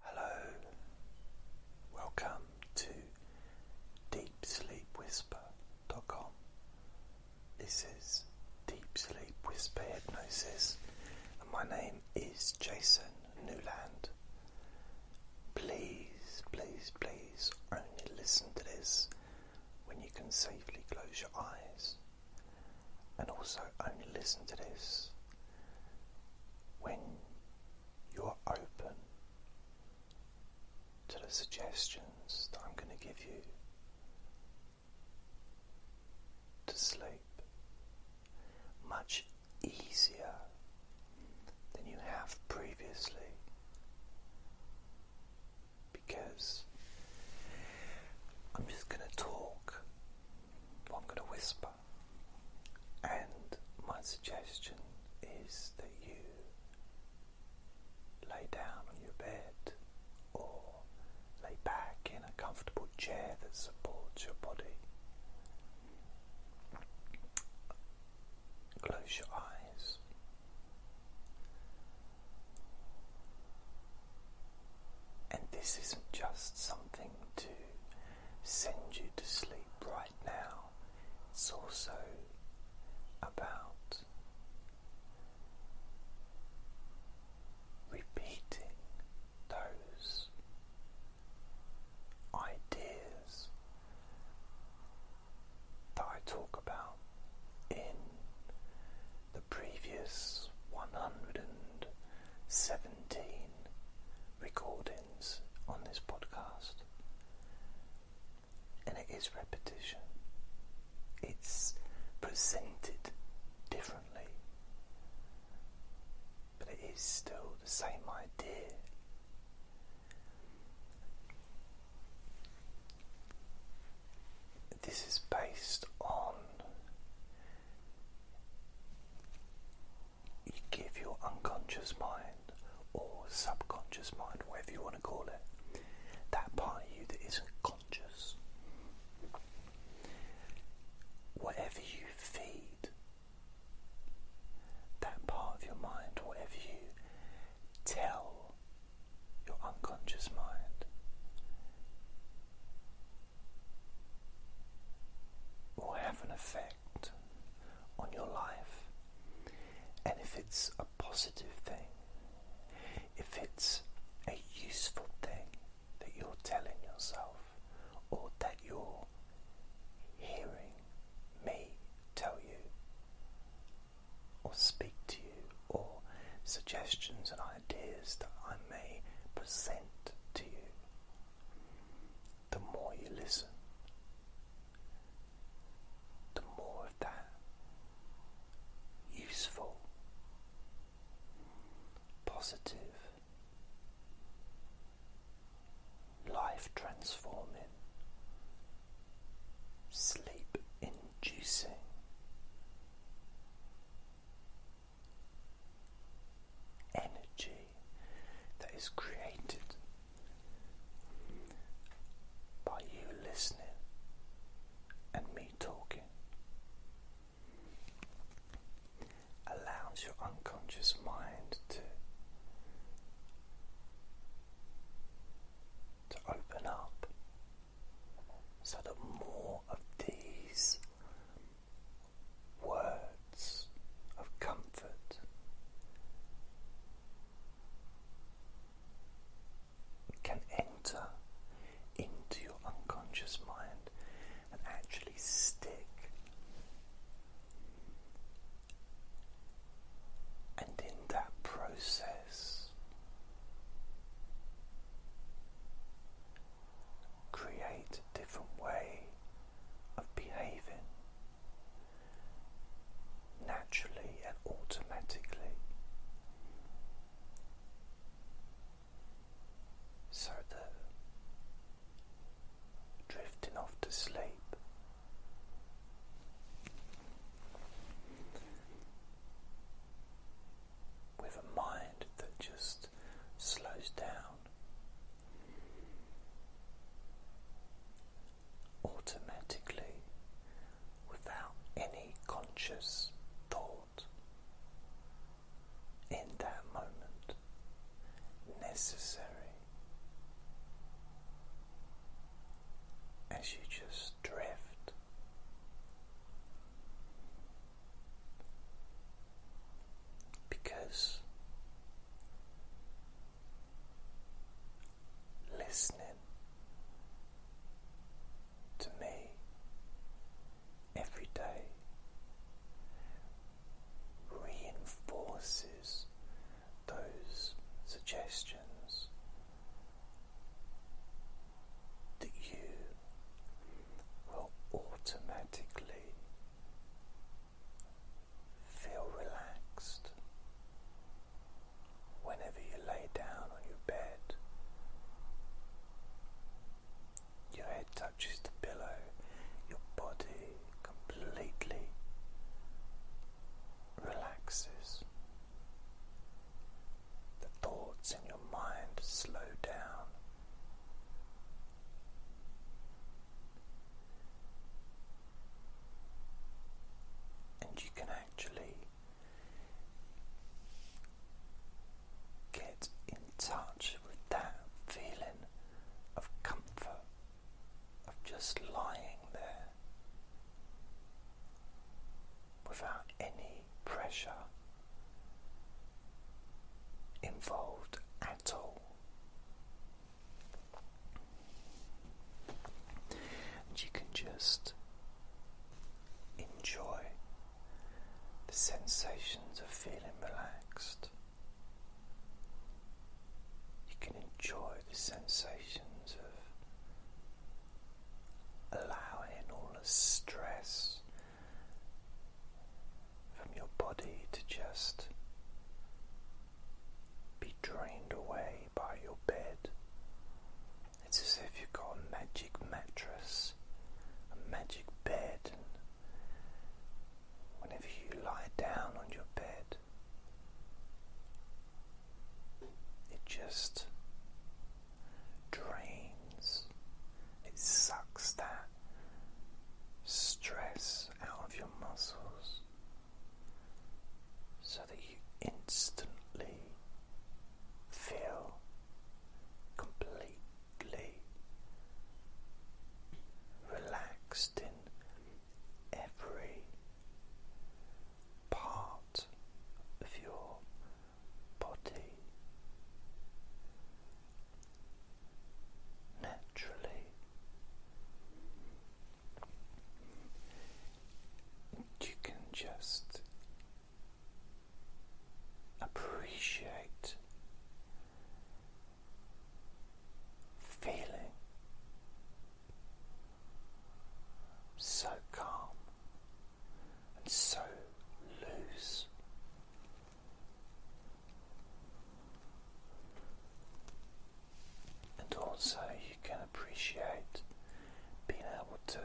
Hello, welcome to DeepSleepWhisper.com. This is Deep Sleep Whisper Hypnosis, and my name is Jason Newland. Please, please, please only listen to this when you can safely close your eyes, and also only listen to this when you're open to the suggestions that I'm going to give you to sleep much easier than you have previously because I'm just going to talk, I'm going to whisper and my suggestion is that you lay down on your bed or lay back in a comfortable chair that supports your body. Close your eyes. And this isn't just something to send you to sleep right now. It's also about repeating those ideas that I talk about in the previous 117 recordings on this podcast, and it is repetition. It's presented differently, but it is still the same idea. This is based on you give your unconscious mind or subconscious mind, whatever you want to call it, that part of you that isn't conscious, whatever you feed that part of your mind, whatever you tell your unconscious mind, will have an effect on your life. And if it's a positive thing, if it's a useful thing that you're telling yourself or that you're hearing me tell you or speak to you or suggestions and ideas that I may present to you the more you listen, the more of that useful, positive, life transforming, sleep inducing. Energy that is created by you listening and me talking. Allows your unconscious mind to to open up so that more of these words of comfort. Can enter into your unconscious mind and actually stick, and in that process, create a different way of behaving naturally and automatically. So that drifting off to sleep with a mind that just slows down automatically without any conscious thought in that moment necessary as you just drift because listening to me every day reinforces those suggestions that you will automatically Feel relaxed whenever you lay down on your bed. Your head touches the pillow, your body completely relaxes. The thoughts in your mind slow down and you can actually get in touch with that feeling of comfort of just lying there without any pressure involved at all. And you can just enjoy the sensations of feeling relaxed. You can enjoy the sensations of allowing all the stress from your body to just be drained away by your bed. It's as if you've got a magic mattress, a magic bed, and whenever you lie down on your bed, it just drains, it sucks that stress out of your muscles so that you instantly feel completely relaxed in every part of your body naturally. You can just appreciate feeling so calm and so loose and also, you can appreciate being able to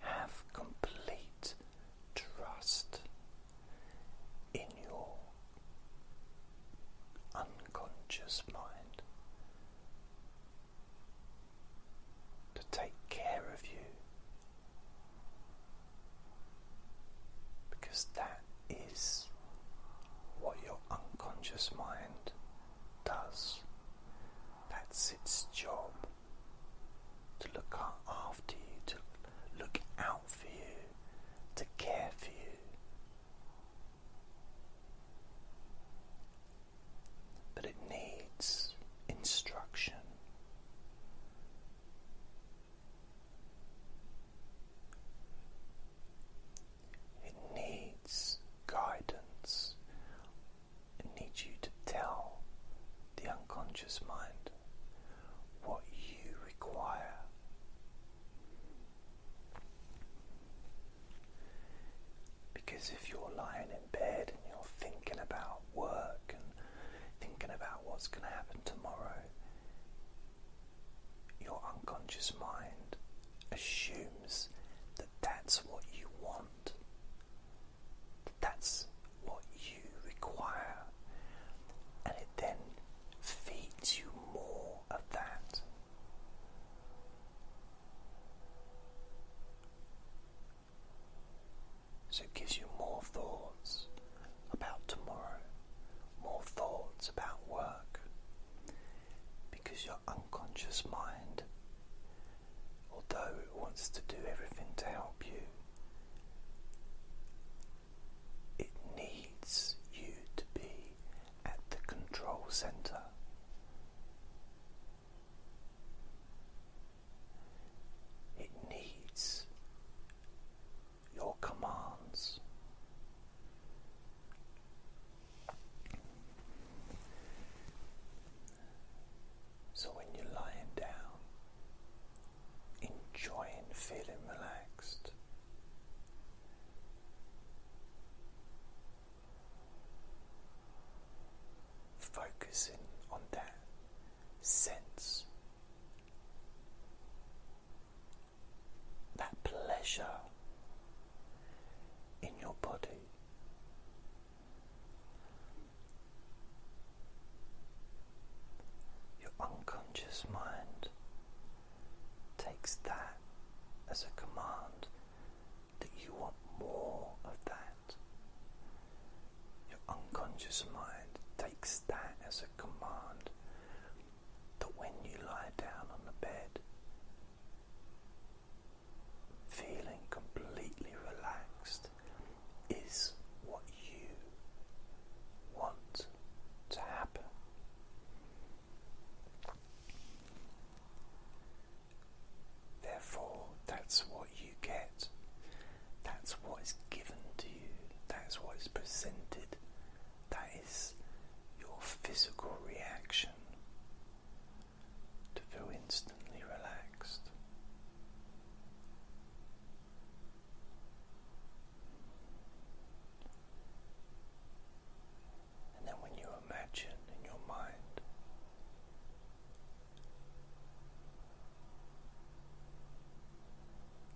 have complete trust in your unconscious mind to take care of you because that is what your unconscious mind does. That's its job to look after you, to look out for you, to care for you. But it needs instruction. It needs guidance. It needs you to tell the unconscious mind what you require. Because if you're lying in bed and you're thinking about work and thinking about what's going to happen tomorrow, your unconscious mind assumes that that's what you want, that that's what you require, and it then feeds you more of that. So it gives you more thoughts, about tomorrow, more thoughts about work, because your unconscious mind, although it wants to do everything to help you, it needs you to be at the control center. It needs your commands. So, when you're lying down, enjoying feeling relaxed, focusing on that sense that pleasure in your body. Your unconscious mind takes that as a command that you want more of that. Your unconscious mind takes that as a command that when you lie down on the bed, feeling completely relaxed is what you want to happen. Therefore, that's what you get. That's what is given to you. That's what is presented that is your physical reaction to feel instantly relaxed. And then when you imagine in your mind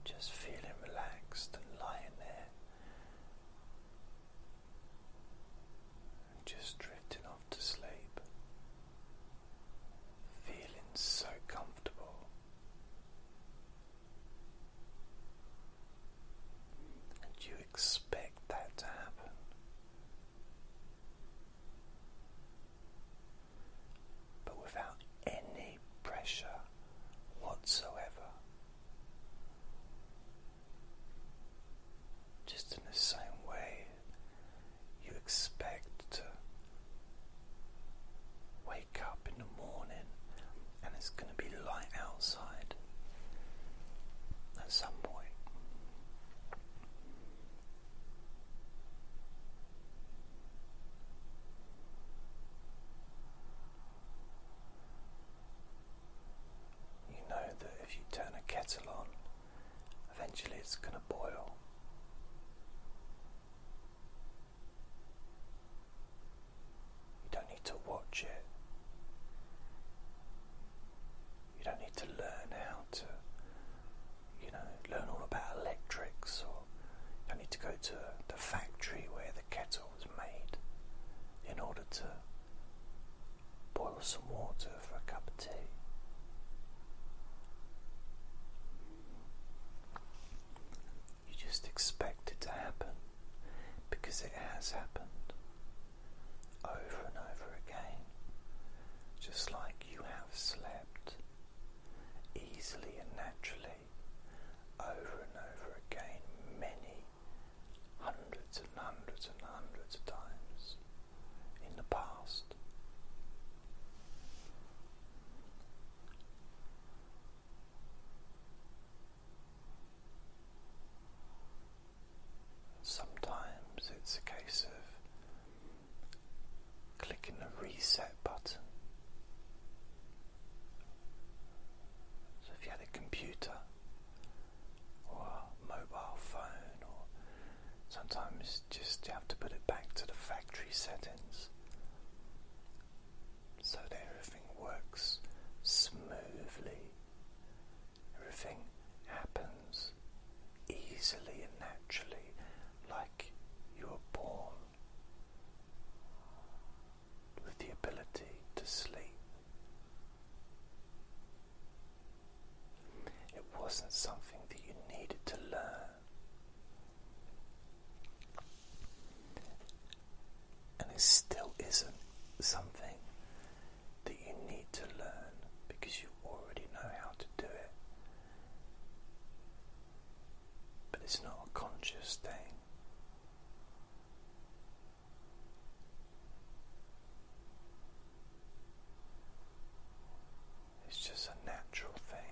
just feeling relaxed and lying there. And just drifting off to sleep. Feeling so comfortable. And you expect that to happen. But without any pressure whatsoever. Just in the same way you expect to wake up in the morning and it's going to be light outside at some point. You know that if you turn a kettle on, eventually it's going to boil. You don't need to watch it. You don't need to learn how to, you know, learn all about electrics or you don't need to go to the factory where the kettle was made in order to boil some water for a cup of tea. You just expect it to happen because it has happened over and over again, just like you have slept easily and naturally over and over again, many hundreds and hundreds and hundreds of times in the past. Sometimes it's a case of clicking the reset button, so if you had a computer or a mobile phone or sometimes just you have to put it back to the factory settings so that everything works smoothly. Everything happens easily and naturally like you were born with the ability to sleep. It wasn't something that you needed to learn. And it still isn't something that you need to learn because you already know how to do it. But it's not a conscious thing. It's just a natural thing.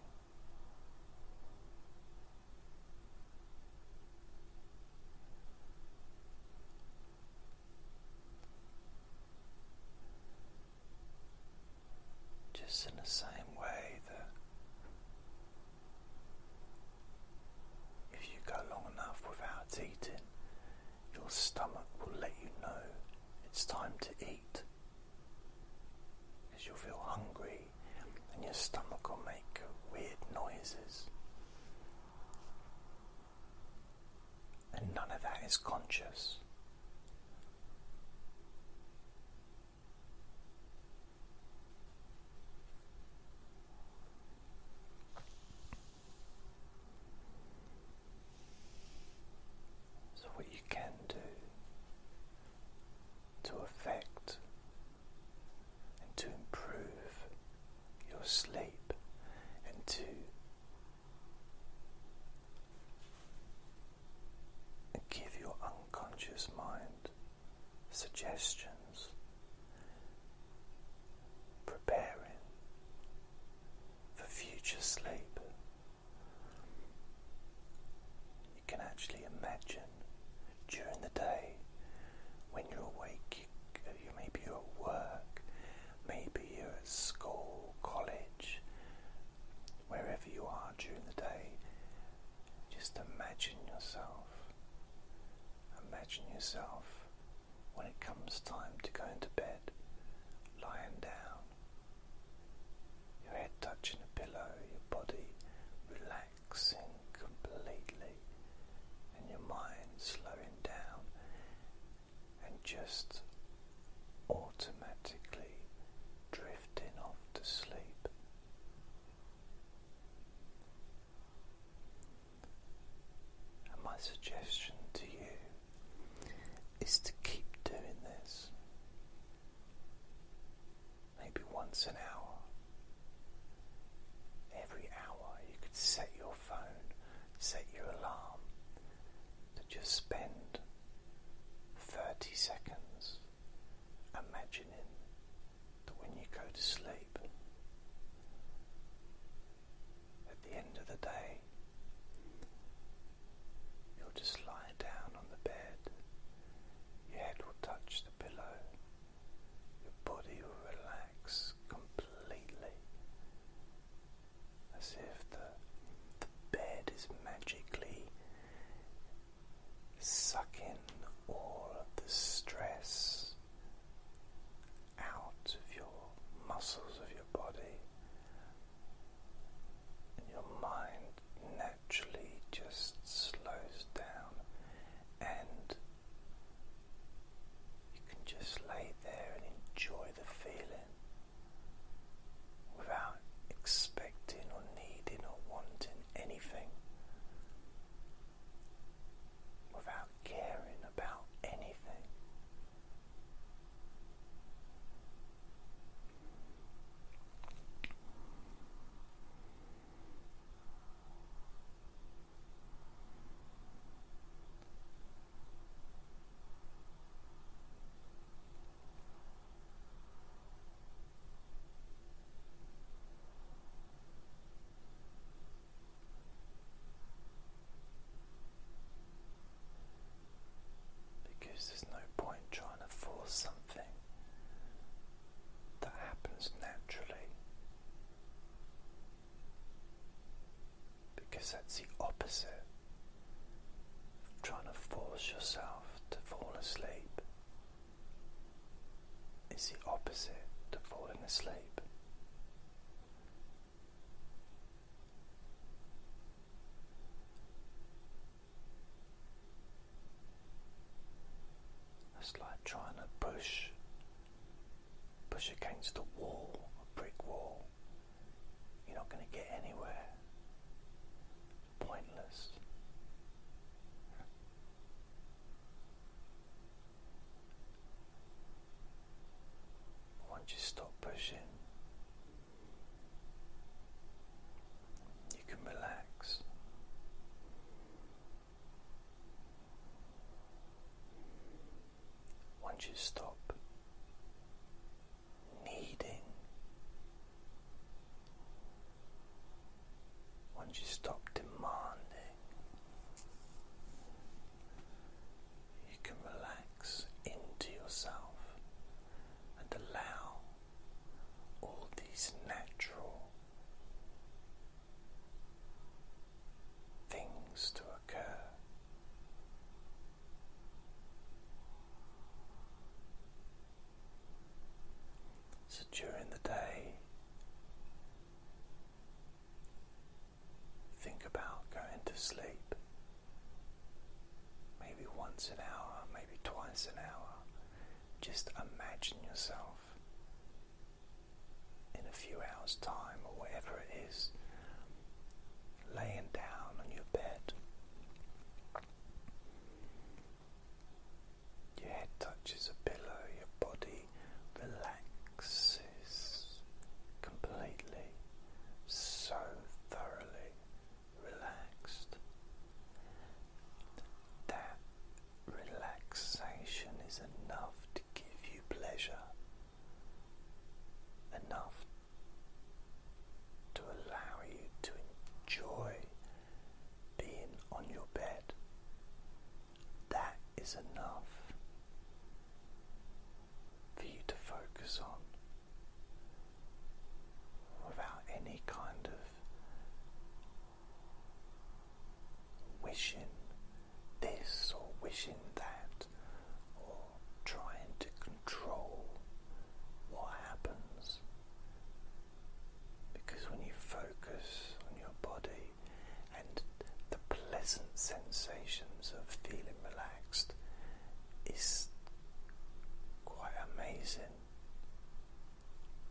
Just in the same way that if you go long enough without eating, your stomach will let you know it's time to eat. because you'll feel hungry and your stomach will make weird noises. And none of that is conscious. So, what you can do to affect and to improve your sleep and to give your unconscious mind suggestions, preparing for future sleep. You can actually imagine during the day when you're awake, you, maybe you're at work, maybe you're at school, college, wherever you are during the day, just imagine yourself Imagine yourself when it comes time to go into bed, lying down, your head touching a pillow, your body relaxing completely, and your mind slowing down, and just automatically drifting off to sleep. And my suggestion to you is to keep doing this maybe once an hour. Every hour, you could set your phone, set your alarm to just spend 30 seconds imagining that when you go to sleep, at the end of the day, you'll just lie down on the bed, your head will touch the pillow, your body will relax completely as if the, the bed is magically Suck in all of the stress out of your muscles of your body, and your mind naturally just slows down, and you can just lay there and enjoy the feeling without expecting or needing or wanting anything without caring about anything. Because there's no point trying to force something that happens naturally, because that's the opposite of trying to force yourself to fall asleep is the opposite to falling asleep. It's like trying to push push against a wall, a brick wall. You're not going to get anywhere. Pointless. Once you stop pushing, you can relax. Once you stop needing once you stop demanding, you can relax into yourself and allow all these natural things to occur. So during the day, Think about going to sleep maybe once an hour, maybe twice an hour. Just imagine yourself in a few hours' time or whatever it is laying down on your bed. Your head touches a pillow, your body relaxes completely, so thoroughly relaxed. That relaxation is enough to give you pleasure, enough to allow you to enjoy being on your bed. That is enough for you to focus on without any kind of wishing this or wishing that or trying to control what happens. Because when you focus on your body, and the pleasant sensations of feeling relaxed is quite amazing.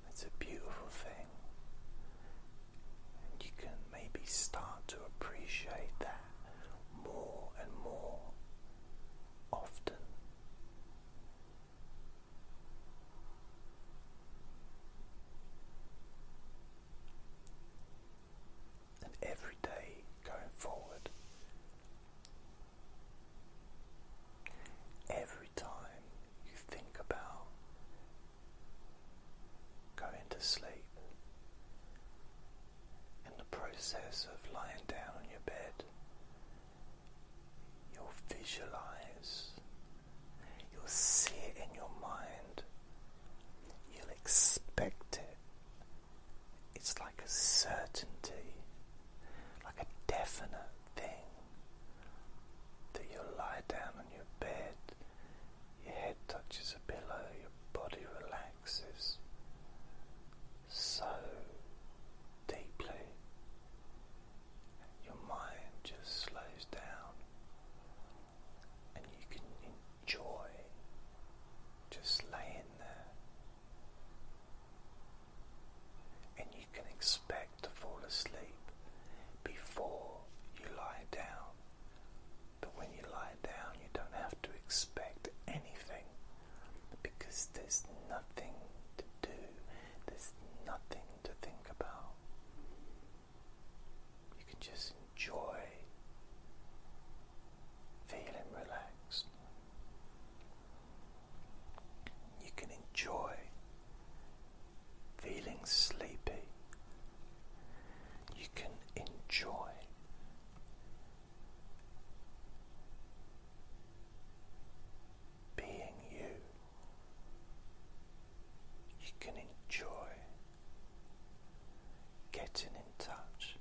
It's a beautiful thing. And you can maybe start to appreciate that more and more often. And every day going forward, every time you think about going to sleep, in the process of lying down on your bed, you'll visualize You'll see it in your mind. You'll expect it. It's like a certainty, like a definite thing. That you'll lie down on your bed, your head touches a pillow, your body relaxes so deeply your mind just slows down and you can enjoy just laying there. And you can expect to fall asleep before you lie down. But when you lie down, you don't have to expect anything because there's nothing to do, there's nothing to think about. You can just enjoy feeling relaxed. You can enjoy feeling sleepy. You can enjoy being you. You can enjoy getting in touch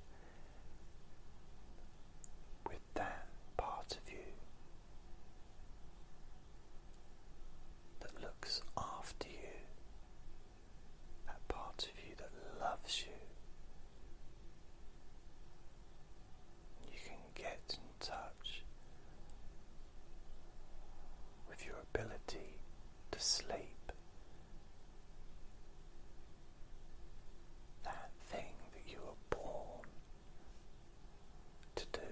with that part of you that looks after you, that part of you that loves you. You can get in touch with your ability to sleep. That thing that you were born to do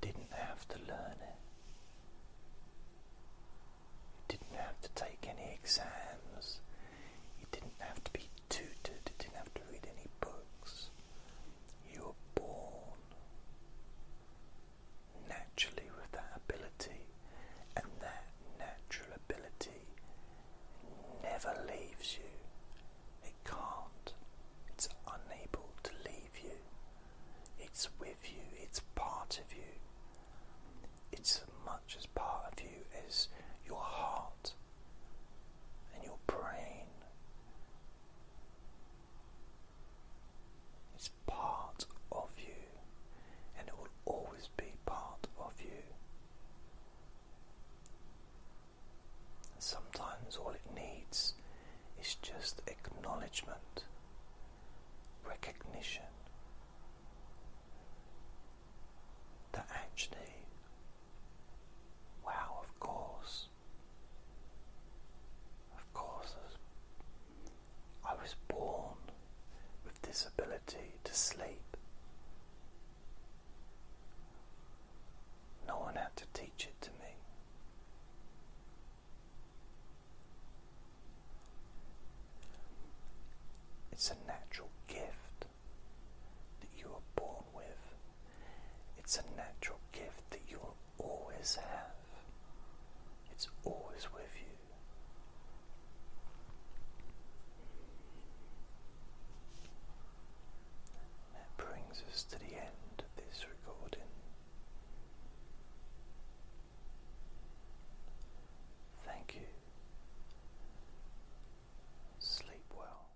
didn't have to learn it. didn't have to take any exams. You didn't have to be tutored. You didn't have to read any books. You are born naturally with that ability, and that natural ability never leaves you. It can't, it's unable to leave you. It's with you, it's part of you. It's as much as part of you as your heart and your brain it's part of you, and it will always be part of you. Sometimes all it needs is just acknowledgement, recognition that actually, wow, of course, of course, I was, born with this ability to sleep. No one had to teach it to me. It's a natural gift that you are born with. It's a natural gift that you will always have. It's always with you. That brings us to the end of this recording. Thank you. Sleep well.